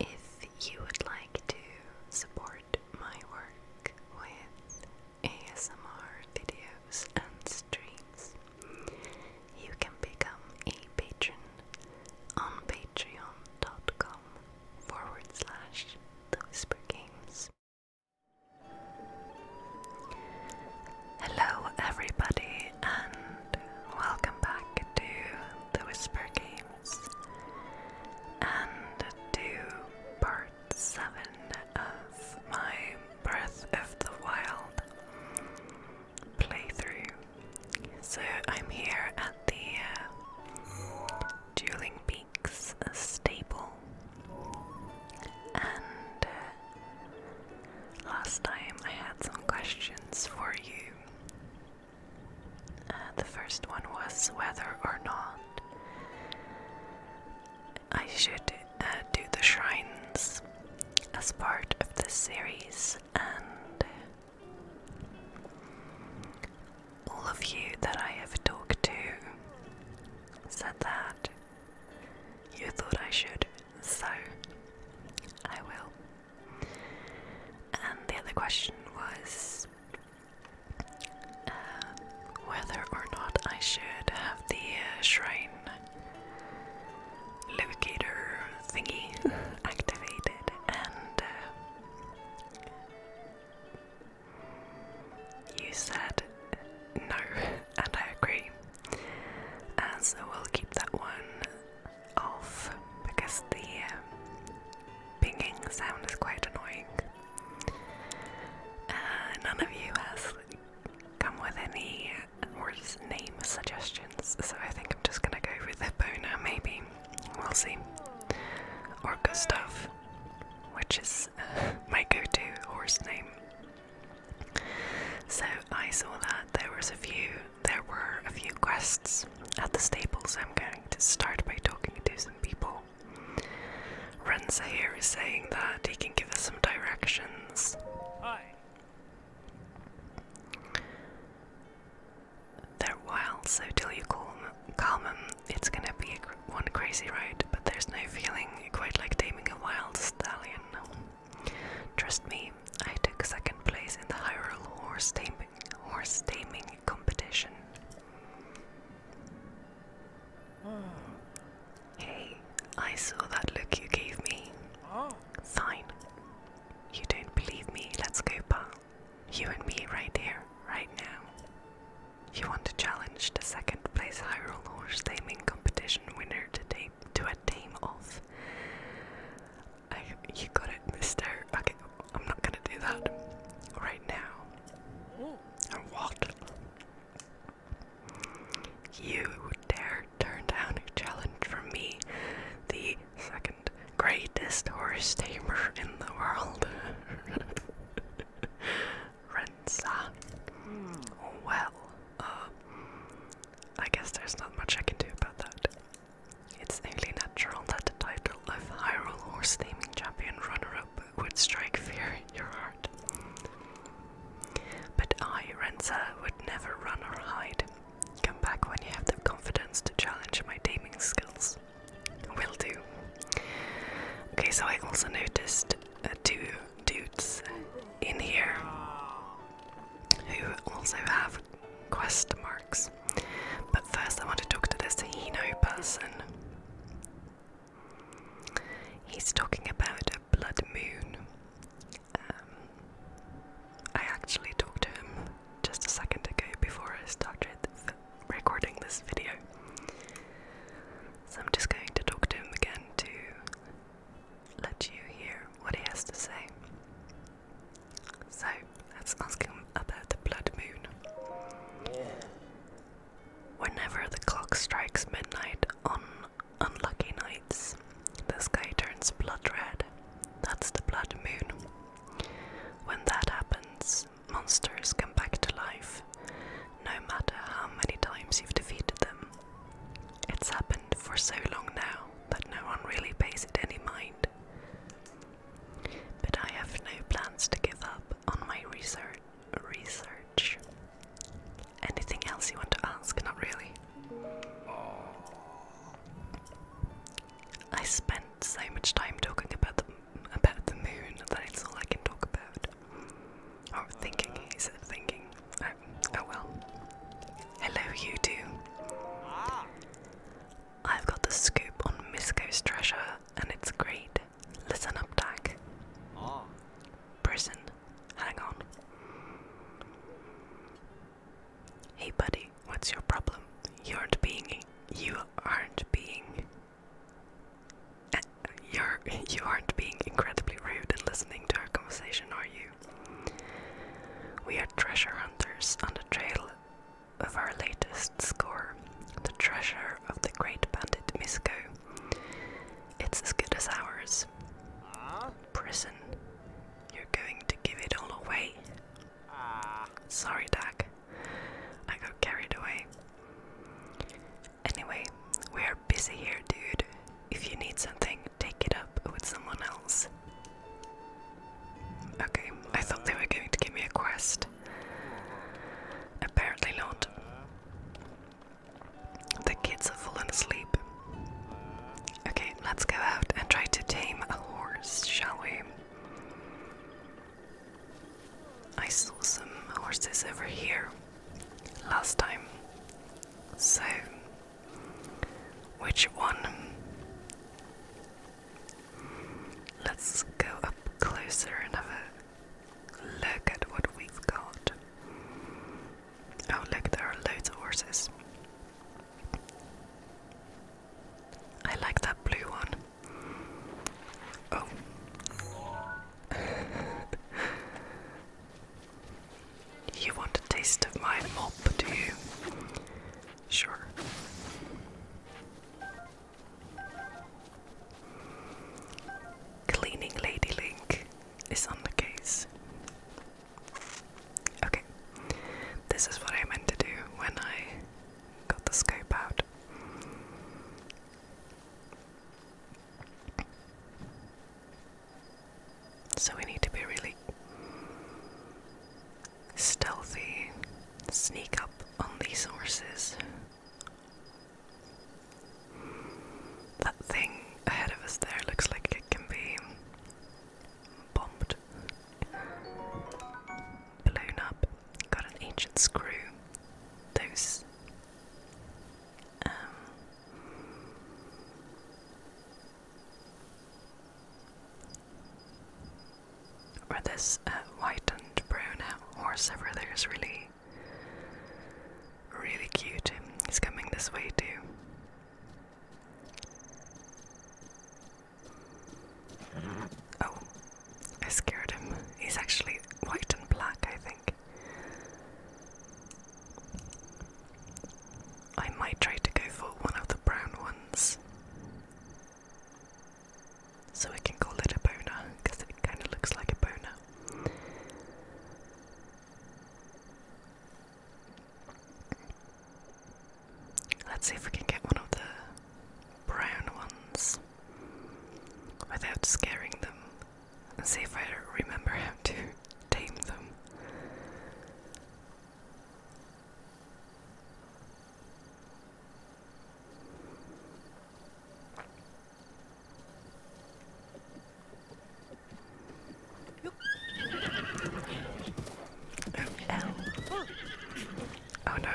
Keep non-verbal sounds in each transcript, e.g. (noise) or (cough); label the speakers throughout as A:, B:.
A: If you would like to support my work with ASMR videos and streams, you can become a patron on patreon.com forward Hello, everybody, and welcome back to the Whisper Games and to part 7 of my Breath of the Wild playthrough. So, I'm here at the uh, Dueling Peaks stable and uh, last time I had some questions for you. Uh, the first one was whether or not I should uh, do the shrines as part of this series, and uh, all of you that I have talked to said that you thought I should, so I will. And the other question was uh, whether or not I should have the uh, shrine locator thingy (laughs) activated and. Uh, you said no. (laughs) and I agree. Uh, so we'll keep that one off because the um, pinging sound is quite annoying. Uh, none of you has come with any horse name suggestions, so I think I'm just gonna go with Epona maybe. We'll see. Or Gustav, which is uh, (laughs) my go to horse name. So I saw that there was a few there were a few quests at the stables. I'm going to start by talking to some people. Renza here is saying that he can give us some directions. They're wild, so till you calm, them, it's gonna be one crazy ride, but there's no feeling quite like taming a wild stallion. Trust me, I took second place in the Hyrule horse taming, horse taming competition. Hey, I saw that look you gave me. Oh. Fine. You don't believe me, let's go, pal. You and me right here, right now. He won the challenge the second place Hyrule horse taming competition winner to, tame, to a tame off. you got it, mister. Okay, I'm not gonna do that right now. what? You dare turn down a challenge from me, the second greatest horse tamer in the world. (laughs) Renza. Well, uh, I guess there's not much I can do about that. It's only natural that the title of Hyrule Horse Champion runner-up would strike fear in your heart. But I, Renza, would never run or hide. Come back when you have the confidence to challenge my taming skills. Will do. Okay, so I also noticed a uh, two dudes in here who also have quest marks. But first, I want to talk to this Hino person. He's talking about a blood moon. Um, I actually talked to him just a second ago before I started recording this video. So I'm just going to talk to him again to let you hear what he has to say. So let's ask him about the blood moon. Whenever the clock strikes midnight on unlucky nights, the sky turns blood red. That's the blood moon. When that happens, monsters come back to life no matter how many times you've defeated them. It's happened for so long now that no one really pays it any mind. But I have no plans to give up on my research. Research. Anything else you want to ask? Not really. I spent so much time talking about the about the moon that it's all I can talk about head. Oh, or thinking, he's thinking. Oh, well. Hello, you two. I've got the scoop on Misko's treasure, and it's great. Listen up, Dak. Prison. Hang on. Hey, buddy. What's your problem? You aren't being. You aren't being you're, you aren't being incredibly rude and listening to our conversation, are you? We are treasure hunters on the trail of our latest score, the treasure of the great bandit Misco. It's as good as ours. Prison, you're going to give it all away. Sorry, Dag. I got carried away. Anyway, we are busy here, dude. If you need something, take it up with someone else. Okay, I thought they were going to give me a quest. Apparently not. The kids have fallen asleep. Okay, let's go out and try to tame a horse, shall we? I saw some horses over here last time. So, which one? Let's go up closer and have a look at what we've got. Oh, look, there are loads of horses. I like that blue one. Oh, (laughs) you want a taste of my mop, do you? Sure. Cleaning Lady Link is on the case. Okay, this is what I meant to do when I got the scope out. So we need to be really stealthy, sneak up on these horses. That thing ahead of us there looks like it can be bombed. Blown up. Got an ancient screw. Those um, or this uh, whitened brown horse over there is really, really cute. He's coming this way too. Oh, I scared him. He's actually white and black, I think. I might try to go for one of the brown ones. So we can call it a boner, it kind of looks like a boner. Let's see if we can get one of the brown ones without scaring them and see if I remember how to tame them. oh no.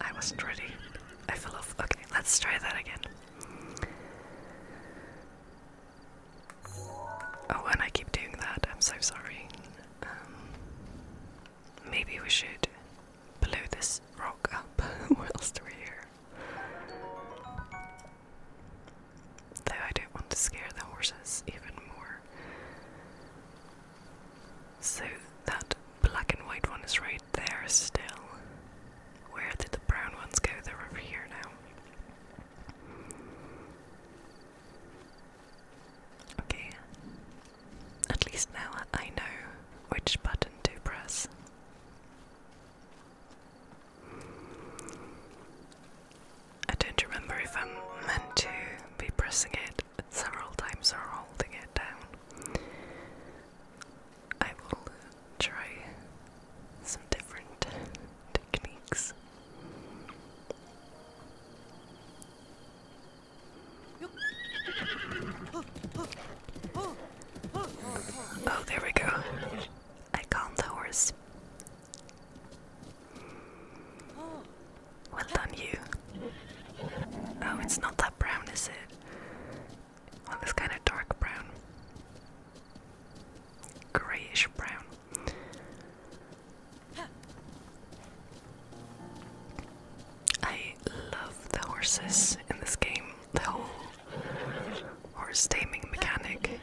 A: I wasn't ready. I fell off. Okay, let's try that again. Oh, and I keep doing that. I'm so sorry. Um, maybe we should blow this rock up. (laughs) what else do we hear? Though I don't want to scare the horses even more. So that black and white one is right there still. Where did the brown ones go? They're over here now. Okay. At least now I know which button to press. I don't remember if I'm meant to be pressing it several times or holding it down. I will try some different techniques. Oh, there we go. I calmed the horse. Well done, you. Oh, it's not that brown, is it? on this kind of dark brown, grayish brown. I love the horses in this game, the whole horse taming mechanic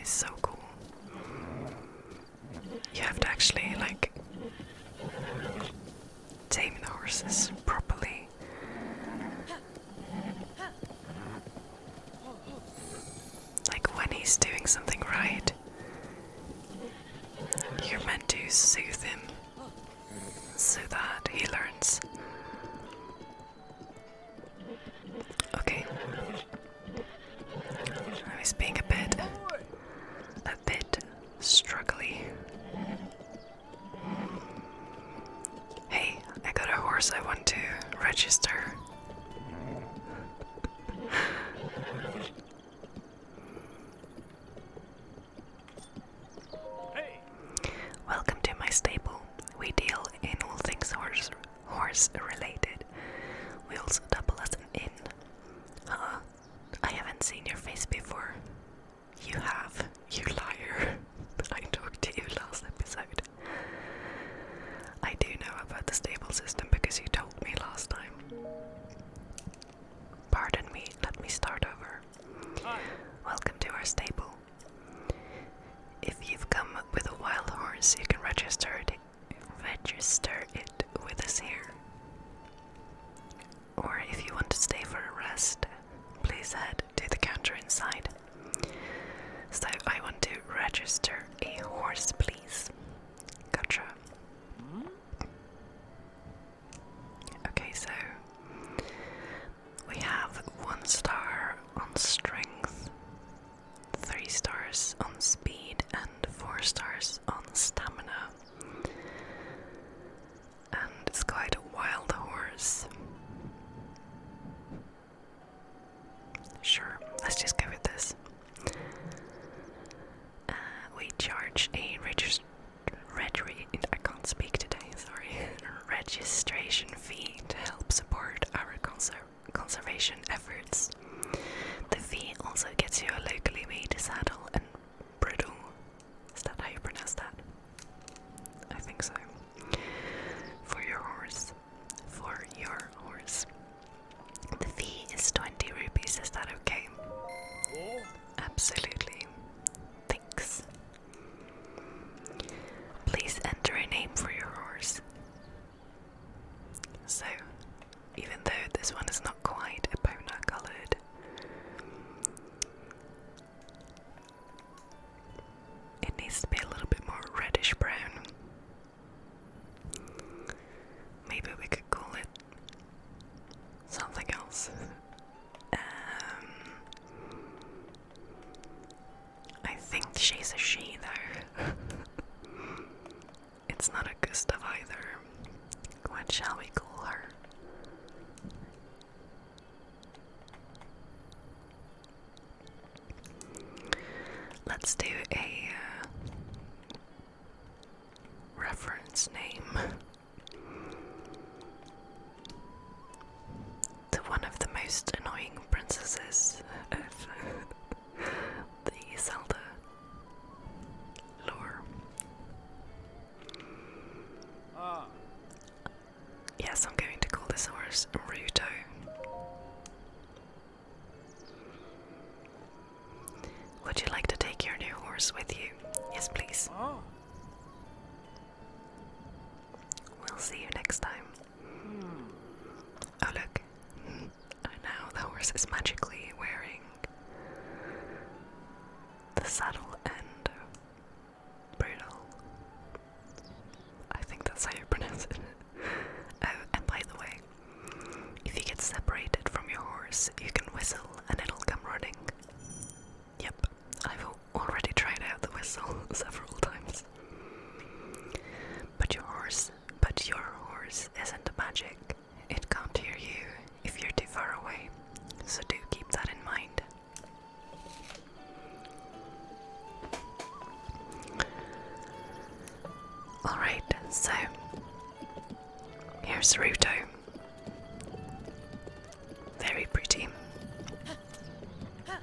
A: is so cool. You have to actually like Taming the horses properly. Like when he's doing something right, you're meant to soothe him so that he learns. Okay. I was being a bit bit struggly. Hey, I got a horse I want to register. Welcome to my stable. We deal in all things horse horse related. We also double as an I haven't seen your face before. You have, you liar. (laughs) But I talked to you last episode. I do know about the stable system because you told me last time. Pardon me, let me start over. Welcome to our stable. If you've come with a wild horse, you can register it, register it with us here or if you want to stay for a rest, please head to the counter inside. So I want to register a horse, please. Gotcha. Okay, so we have one star on strength, three stars on speed, and four stars on stamina. And it's quite a wild horse. Sure, let's just go with this. Uh, we charge a regist (laughs) registration fee to help support our conser conservation efforts. The fee also gets you a locally made saddle and bridle is that how you pronounce that? I think so. For your horse. For your horse. The fee is 20 rupees, is that okay? Oh. Absolutely. Thanks. Please enter a name for your horse. So, even though this one is not quite a bona coloured it needs to be a little bit more reddish brown. Maybe we could call it something else. (laughs) Um, I think she's a she, though. (laughs) it's not a Gustav either. What shall we call her? Let's do a uh, reference name to one of the most annoying princesses (laughs) the Zelda Lure. Yes, I'm going to call this horse Ruto. Would you like to take your new horse with you? Yes, please. We'll see you next time. Oh, look. And (laughs) now the horse is magically wearing the saddle and bridle. I think that's how you pronounce it. (laughs) Oh, and by the way, if you get separated from your horse, you can whistle and it'll come running. Yep, I've already tried out the whistle (laughs) several times. But your horse, but your horse isn't magic. It can't hear you if you're too far away, so do keep that in mind. Alright, so here's Ruto. Very pretty. Oh,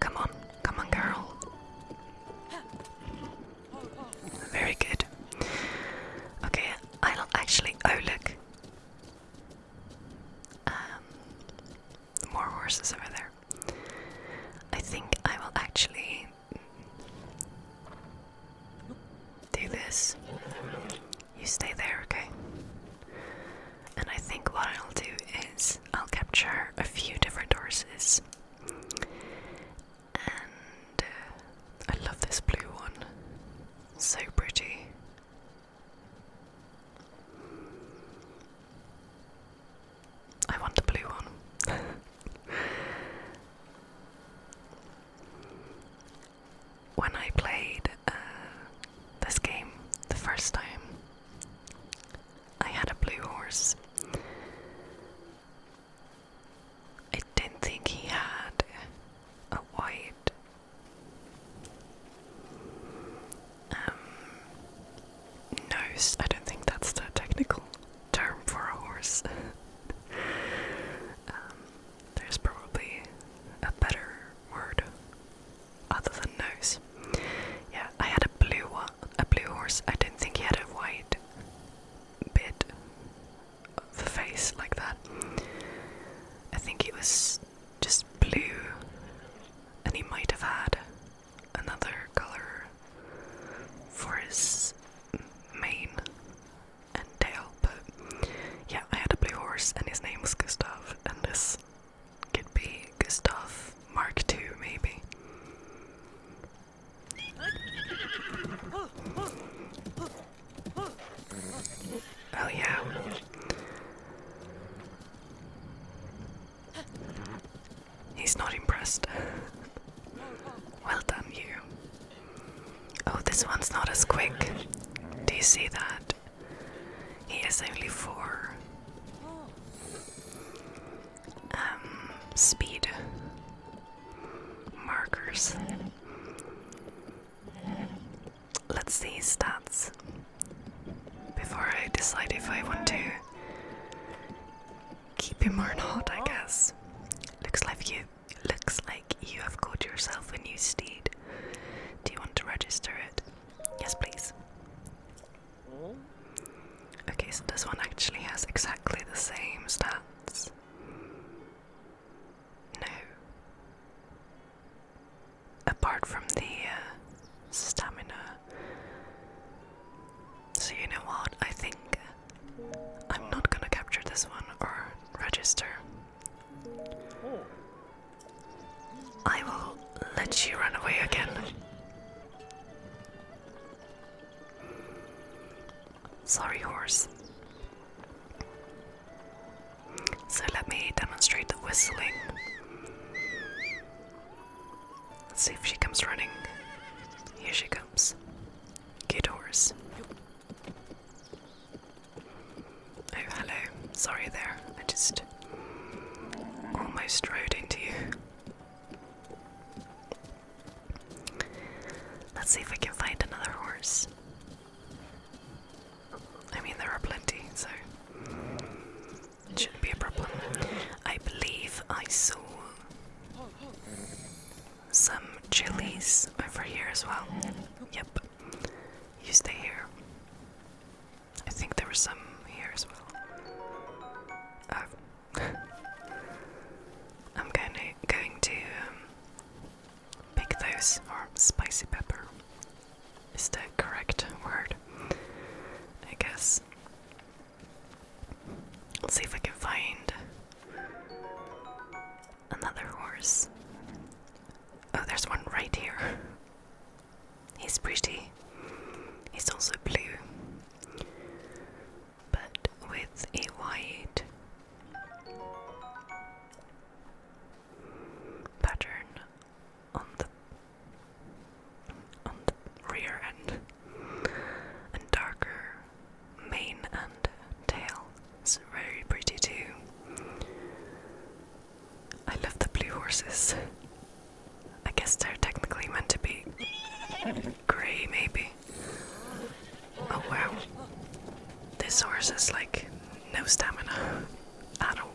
A: come on, come on, girl. Very good. Okay, I will actually. Oh, look. Um, more horses over there. I think I will actually do this. You stay there, okay? And I think what I'll do is I'll capture a few different horses and uh, I love this blue one. So pretty. I want the blue one. (laughs) when I played uh, this game the first time, I had a blue horse. I didn't think he had a white. Um, nose. I don't think that's the technical term for a horse. (laughs) Um, there's probably a better word other than nose. Yeah, I had a blue one, a blue horse. I didn't think he had a white bit the face like that. I think it was just blue, and he might have had another color for his mane and tail, but yeah, I had a blue horse, and his name was Gustav, and this could be Gustav Mark II, maybe. Oh yeah. He's not impressed. well done, you. Oh, this one's not as quick. Do you see that? He has only four. Um, speed markers. Let's see stats before I decide if I want to keep him or not. I guess looks like you looks like you have got yourself a new steed. Do you want to register it? Yes, please. Hmm? Okay, so this one actually has exactly the same stats. No. Apart from the uh, stamina. So, you know what? I think I'm not gonna capture this one or register. I will let you run away again. Sorry, horse. So let me demonstrate the whistling. Let's see if she comes running. Here she comes. Good horse. Oh, hello. Sorry there. I just almost rode into you. Let's see if we can find another horse. I mean, there are plenty, so it shouldn't be a problem. I believe I saw some chilies over here as well. Yep, you stay here. I think there were some here as well. Uh, (laughs) I'm gonna going to um, pick those or spicy pepper is the correct word, I guess. Let's see if I can find another horse. Oh, there's one right here. (laughs) He's pretty. He's also blue but with a white pattern on the on the rear end and darker mane and tail. It's very pretty too. I love the blue horses. I guess they're technically meant to be grey, maybe. Oh wow. This horse is like no stamina at all.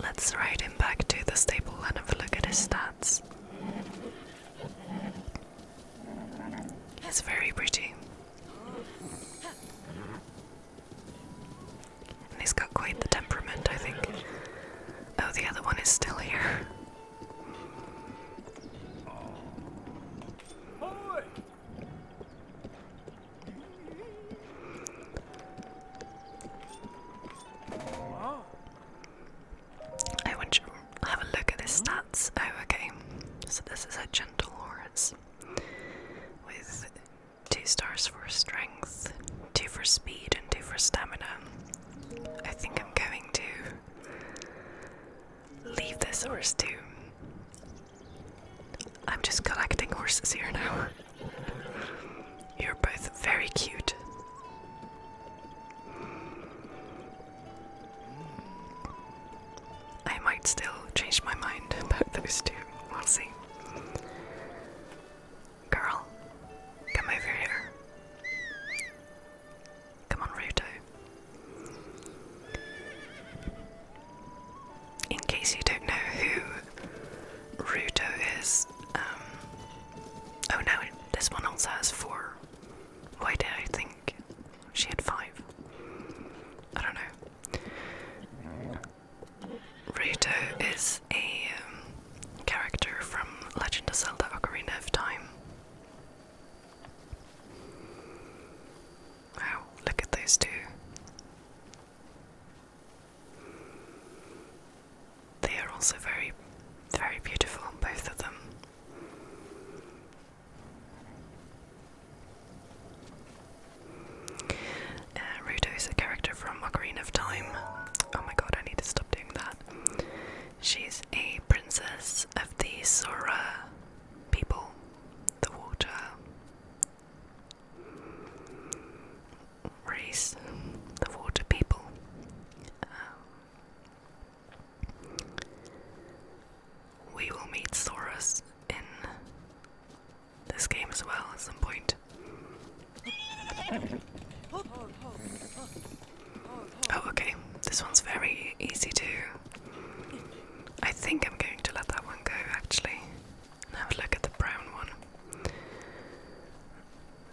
A: Let's ride him back to the stable and have a look at his stats. He's very pretty he's got quite the temperament, I think. Oh, the other one is still here. I want to have a look at his stats. Oh, okay. So this is a gentle horse with two stars for strength, two for speed, and two for stamina. I think I'm going to leave this horse too. I'm just collecting horses here now. You're both very cute. I might still change my mind about those two. We'll see. Girl, come over here. Come on, Ruto. In case you don't know who Ruto is, um, oh no, this one also has four. Why did I think she had five. I don't know. Ruto is a um, character from Legend of Zelda Ocarina of Time. Wow, look at those two. They are also very, very beautiful, both of them. Uh, Ruto is a character from Ocarina of Time. Oh my god, I need to stop doing that. She's a princess of the Sora people, the water race, the water people. Um, we will meet Saurus in this game as well at some point. Oh, okay. This one's very easy to. I think I'm going to let that one go actually. have a look at the brown one.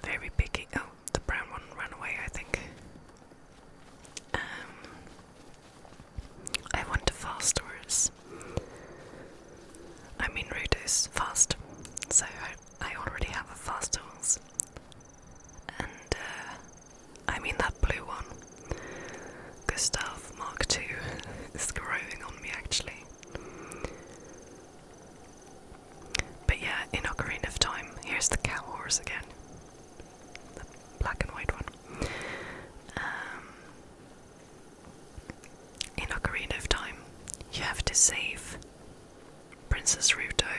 A: Very picky. Oh, the brown one ran away, I think. Um, I want to fast Taurus. I mean Rotos fast. So I, I already have a fast Taurus. And uh, I mean that blue one. Gustav Mark II (laughs) is growing on me actually. But yeah, in Ocarina of Time, here's the cow horse again. The black and white one. Um, in Ocarina of Time, you have to save Princess Ruto.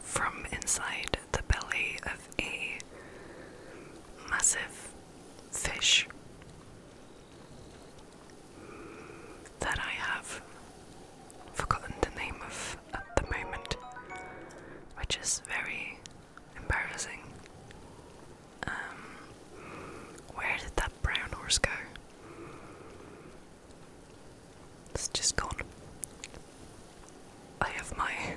A: From inside the belly of a massive fish that I have forgotten the name of at the moment, which is very embarrassing. Um, where did that brown horse go? It's just gone. I have my. (laughs)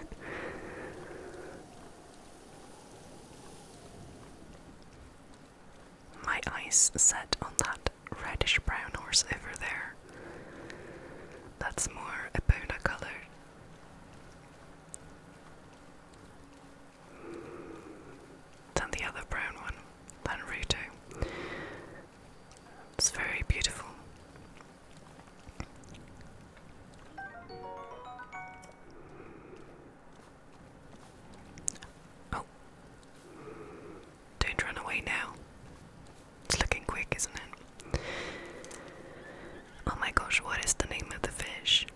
A: My eyes set on that reddish brown horse over there. That's more a Bona color. Than the other brown one, than Ruto. It's very beautiful. Oh, don't run away now. It's looking quick, isn't it? Oh my gosh, what is the name of the fish?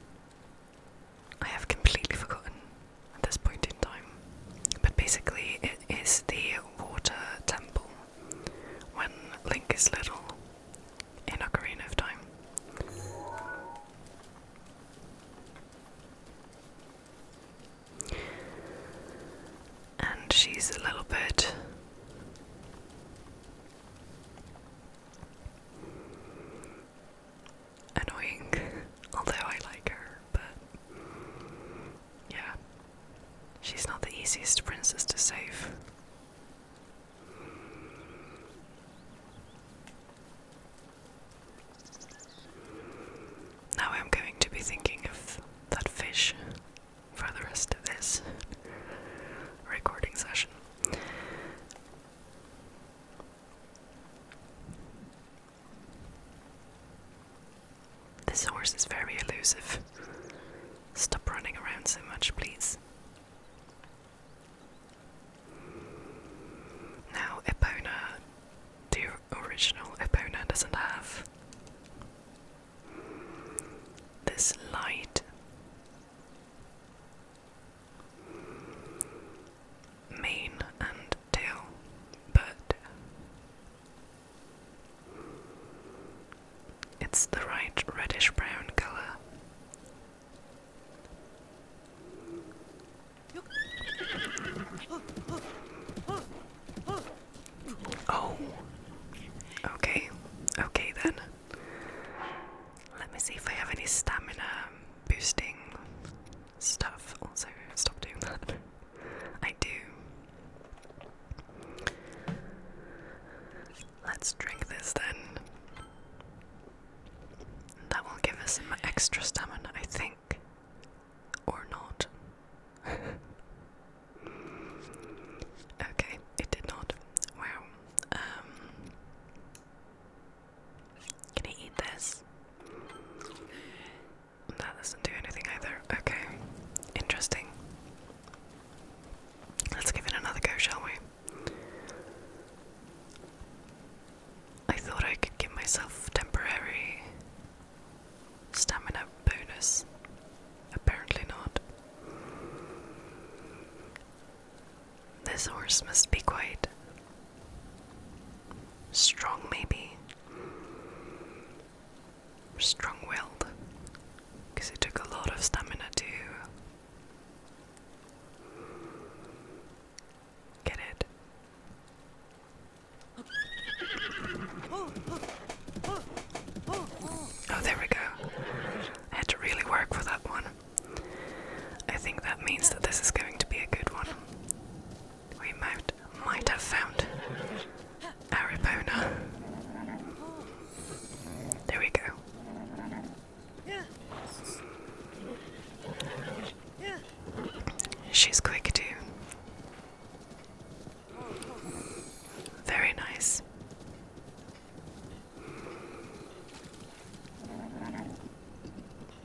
A: I have completely forgotten at this point in time. But basically, it is the water temple when Link is little in Ocarina of Time and she's a little bit annoying, (laughs) although I like her, but yeah, she's not the easiest princess to save. Now I'm going to be thinking of that fish for the rest of this recording session. This horse is very elusive. Stop running around so much, please. Now, Epona, do you original opponent doesn't have. This light mane and tail, but it's the right reddish brown color. Oh. Okay. Okay then. Let me see if I have any stamina boosting stuff. Also, stop doing that. I do. Let's drink this then. That will give us some extra stamina, I think. Or not. (laughs) okay, it did not. Wow. Um, can I eat this? That doesn't do anything either. Okay, interesting. Let's give it another go, shall we? I thought I could give myself temporary Stamina bonus? Apparently not. This horse must be quite strong, maybe. Strong willed. Because it took a lot of stamina to Get it? Oh, there we go. I had to really work for that one. I think that means that this is going to be a good one. We might might have found Aripona. There we go. She's quick too. Very nice.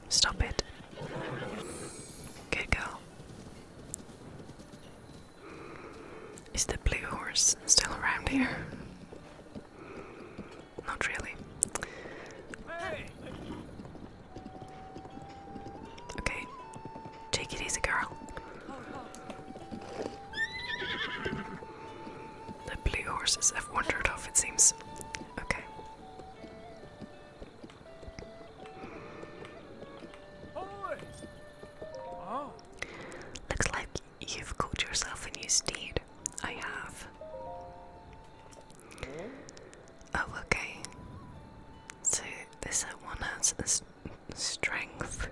A: Stop it. Good girl. Is the blue horse still around here? Not really. Okay. Take it easy, girl. The blue horses have wandered off, it seems. Okay. Looks like you've caught yourself a new steed. I have. Oh, okay. So this uh, one has strength,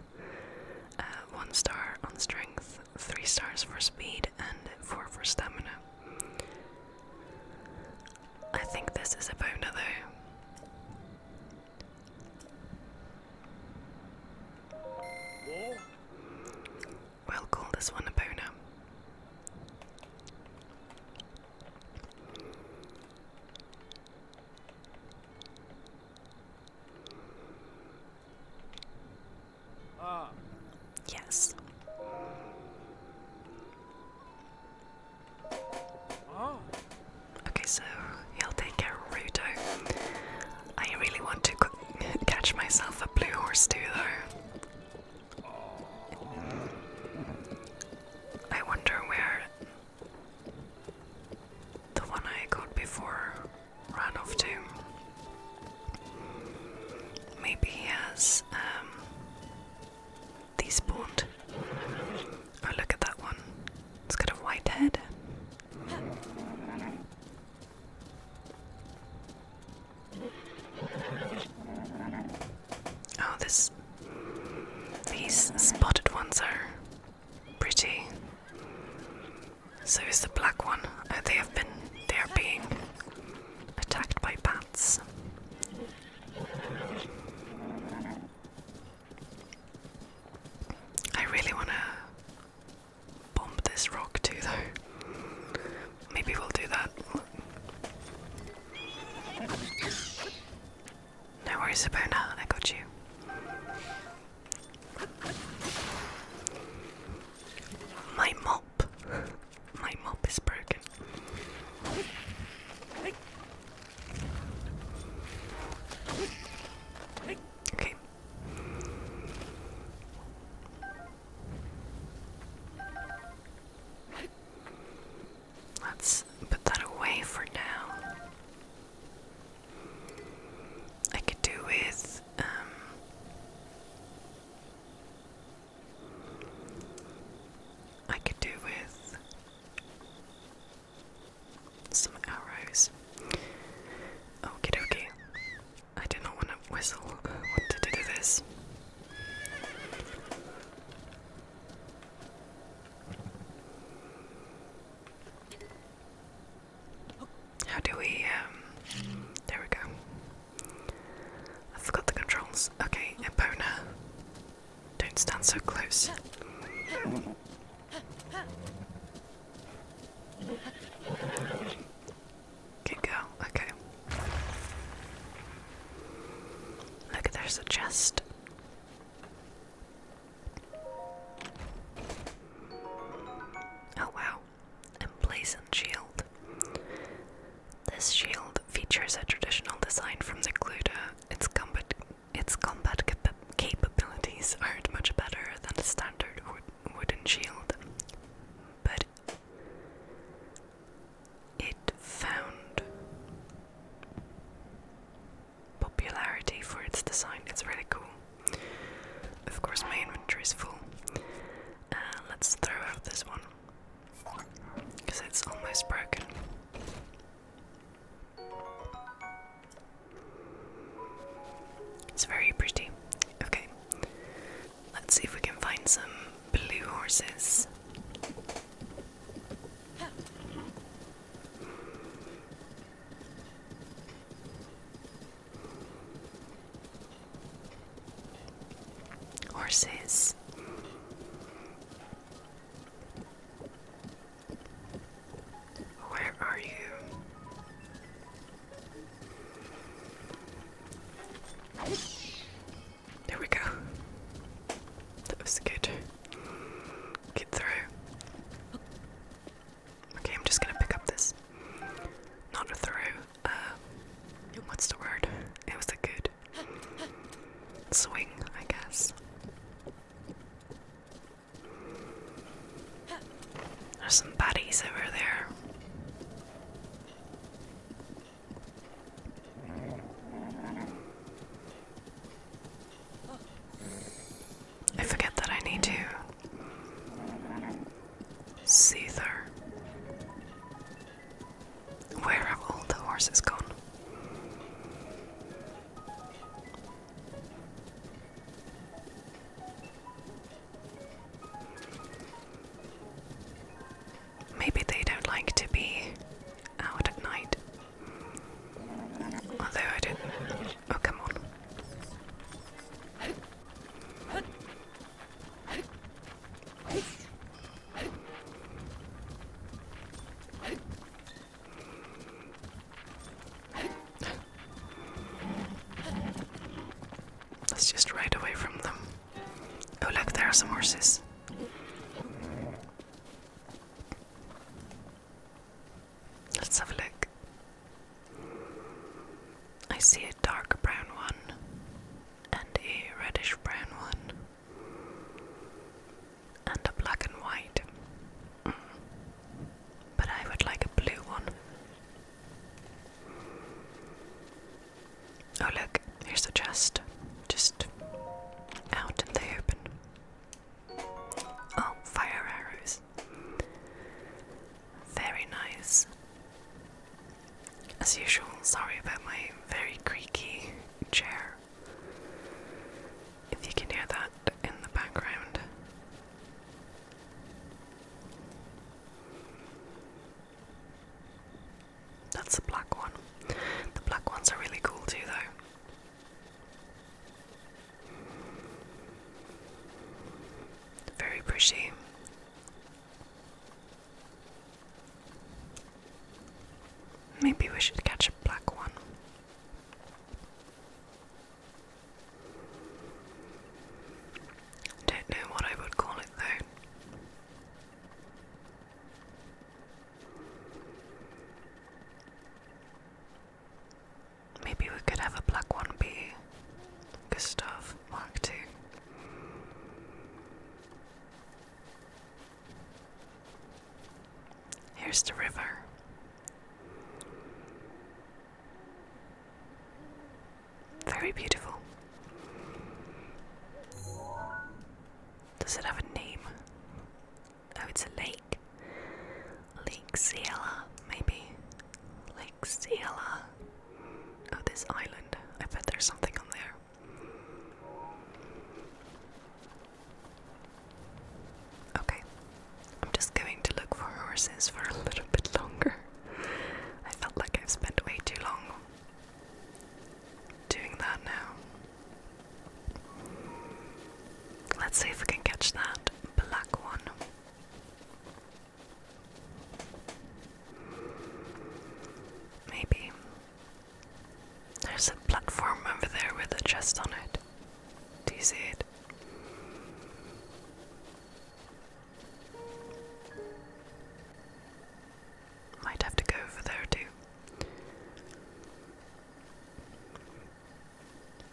A: uh, one star on strength, three stars for speed, and four for stamina. I think this is a boner though. We'll call this one a boner. Yes. Okay, so he'll take Gerudo. I really want to (laughs) catch myself a blue horse too, though. I wonder where the one I got before ran off to. Maybe he has um, despawned. Oh, look at that one. It's got a white head. Oh, this these spotted ones are pretty. So is the black one. Uh, they have been. They are being attacked by bats. I really want to bomb this rock too, though. Maybe we'll do that no worries about that, I got you. My mop. My mop is broken. Okay. Let's put that away for now. I could do with um, I could do with some arrows. Okay, dokie. I do not want to whistle. I uh, to do this. How do we, um, there we go. I forgot the controls. Okay, Epona, don't stand so close. Good girl, okay. Look, there's a chest. Oh wow, emblazoned shield. This shield features a traditional design from the Gluta. Its combat, its combat capabilities aren't much better than a standard wooden shield, but it found popularity for its design. It's really cool. Of course, my inventory is full. Uh, let's throw out this one because it's almost broken. It's very pretty. Okay, let's see if we can find some blue horses. Horses. Where are you? There we go. That was good. Get through. Okay, I'm just gonna pick up this. Not a throw. Uh, what's the word? It was a good swing, I guess. There's some baddies over there. I forget that I need to Seether. Where have all the horses gone? Maybe they don't like to be out at night. Although I didn't. Oh, come on. Let's just ride away from them. Oh, look, there are some horses. Let's have a look. I see a dark brown one and a reddish brown one and a black and white. Mm. But I would like a blue one. Oh, look, here's the chest. Just out and they open. Oh, fire arrows. Very nice. As usual, sorry about my very creaky chair. If you can hear that in the background. That's the black one. The black ones are really cool too, though. Very pretty. Maybe we should catch a black one. Don't know what I would call it though. Maybe we could have a black one be Gustav Mark II. Here's the river. Very beautiful. Does it have a name? Oh, it's a lake. Lake Ciela, maybe. Lake Ciela. Oh, this island. I bet there's something on there. Okay, I'm just going to look for horses for a little bit longer. I felt like I've spent way too long doing that now. Let's see if we can catch that black one. Maybe. There's a platform over there with a chest on it. Do you see it? Might have to go over there too.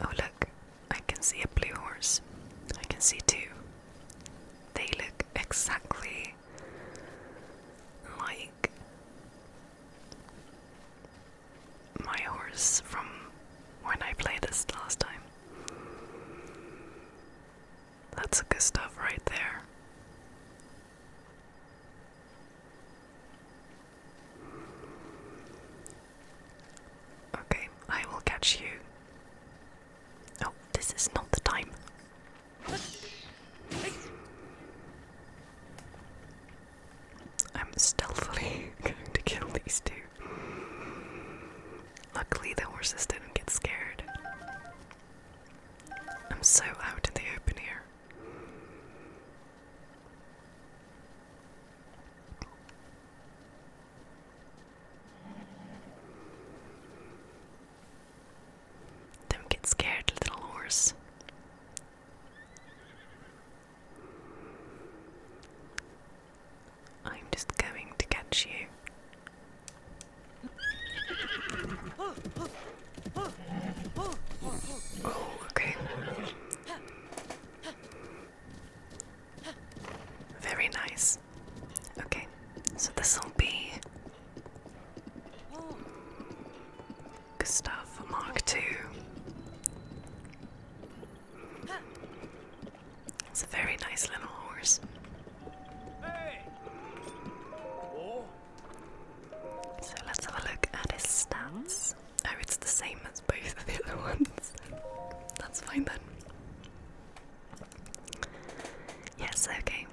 A: Oh, look, I can see a blue horse. I can see two. They look exactly like my horse from when I played this last time. That's good stuff right there. Okay, I will catch you. Oh, this is not the time. I'm stealthily (laughs) going to kill these two. Luckily, the horses didn't get scared. I'm so out in the open here. Don't get scared, little horse. I'm just going to catch you okay. Very nice. Okay, so this will be for Mark II. It's a very nice little horse. Oh, so let's have a look at his stats. Oh, it's the same as both of the other (laughs) ones. That's fine then. Yes, okay.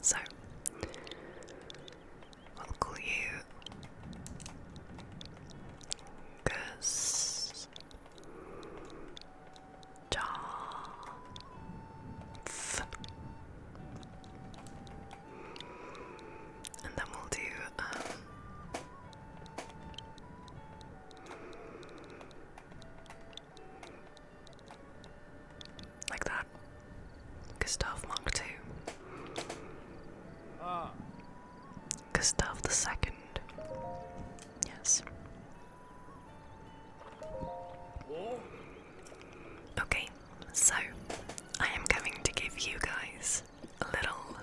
A: So, we'll call you Gus. Dolph. And then we'll do um, like that. Gustav Mark II. Ah. Gustav the Second. Yes. Okay, so I am going to give you guys a little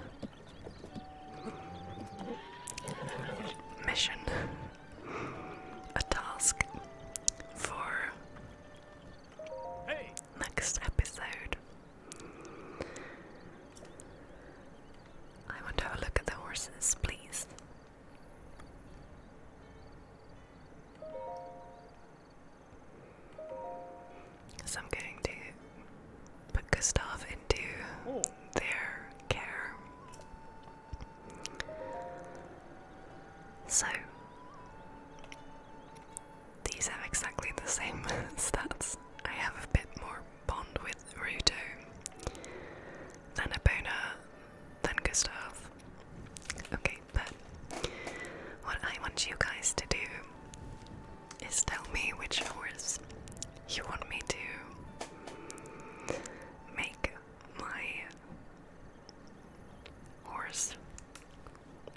A: mission, a task for next episode. I want to have a look at the horses, please. So I'm going to put Gustav into oh. their care. So these have exactly the same (laughs) stats. I have a bit more bond with Ruto than Abona then Gustav. Okay, but what I want you guys to do is tell me which horse you want me to make my horse,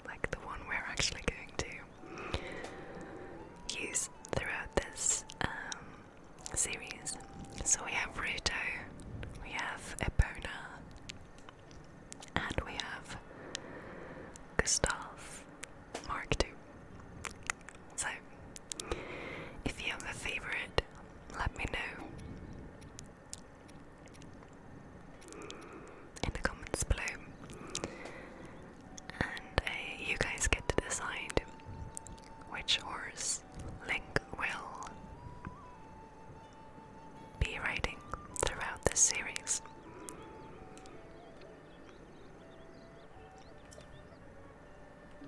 A: like the one we're actually going to use throughout this um, series. So we have Ruto, we have Ebona, and we have Gustav Mark II. So, if you have a favourite, let me know in the comments below. And uh, you guys get to decide which horse link will be writing throughout this series.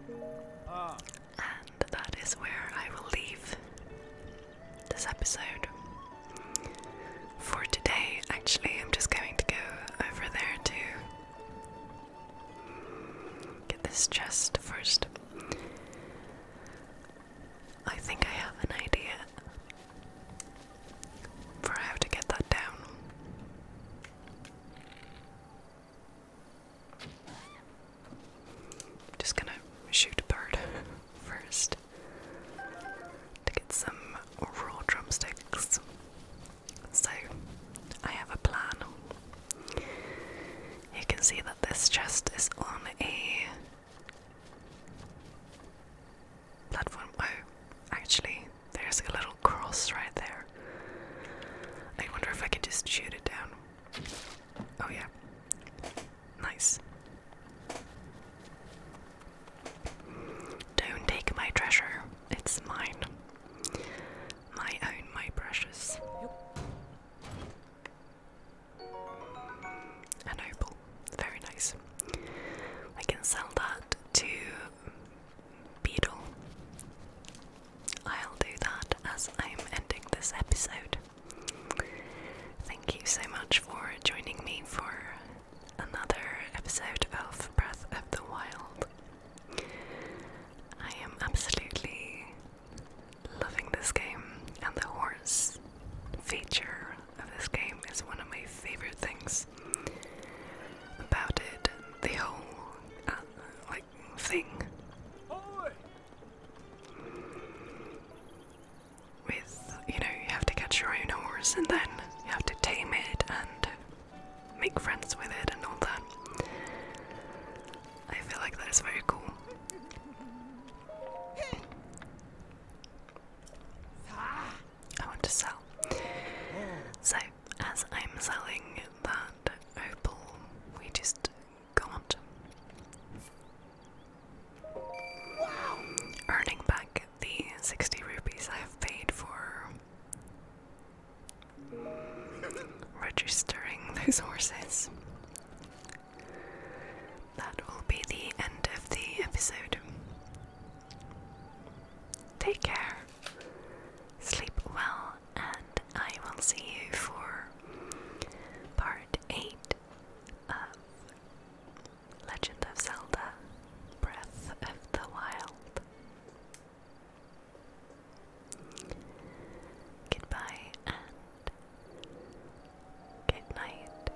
A: And that is where I will leave this episode. For today, actually, I'm just going to go over there to Get this chest first. I think I have an idea for how to get that down. I'm just gonna shoot a bird (laughs) first to get some raw drumsticks. So I have a plan. You can see that this chest is on a platform. Oh, actually, there's a little cross right there. I wonder if I could just shoot it down. Oh, yeah. Nice. Don't take my treasure, it's mine my own my brushes. An opal, very nice. I can sell that to Beetle. I'll do that as I'm ending this episode. Thank you so much for joining me for another episode of Breath of the Wild. I am absolutely loving this game, and the horse feature of this game is one of my favorite things about it. The whole uh, like thing with you know you have to catch your own horse and then you have to tame it and make friends with it and all that. I feel like that is very cool. I want to sell. So, as I'm selling that opal, we just got wow. earning back the 60 rupees I've paid for registering those horses. That will be the end of the episode. Take care, sleep well, and I will see you for part 8 of Legend of Zelda Breath of the Wild. Goodbye and good night.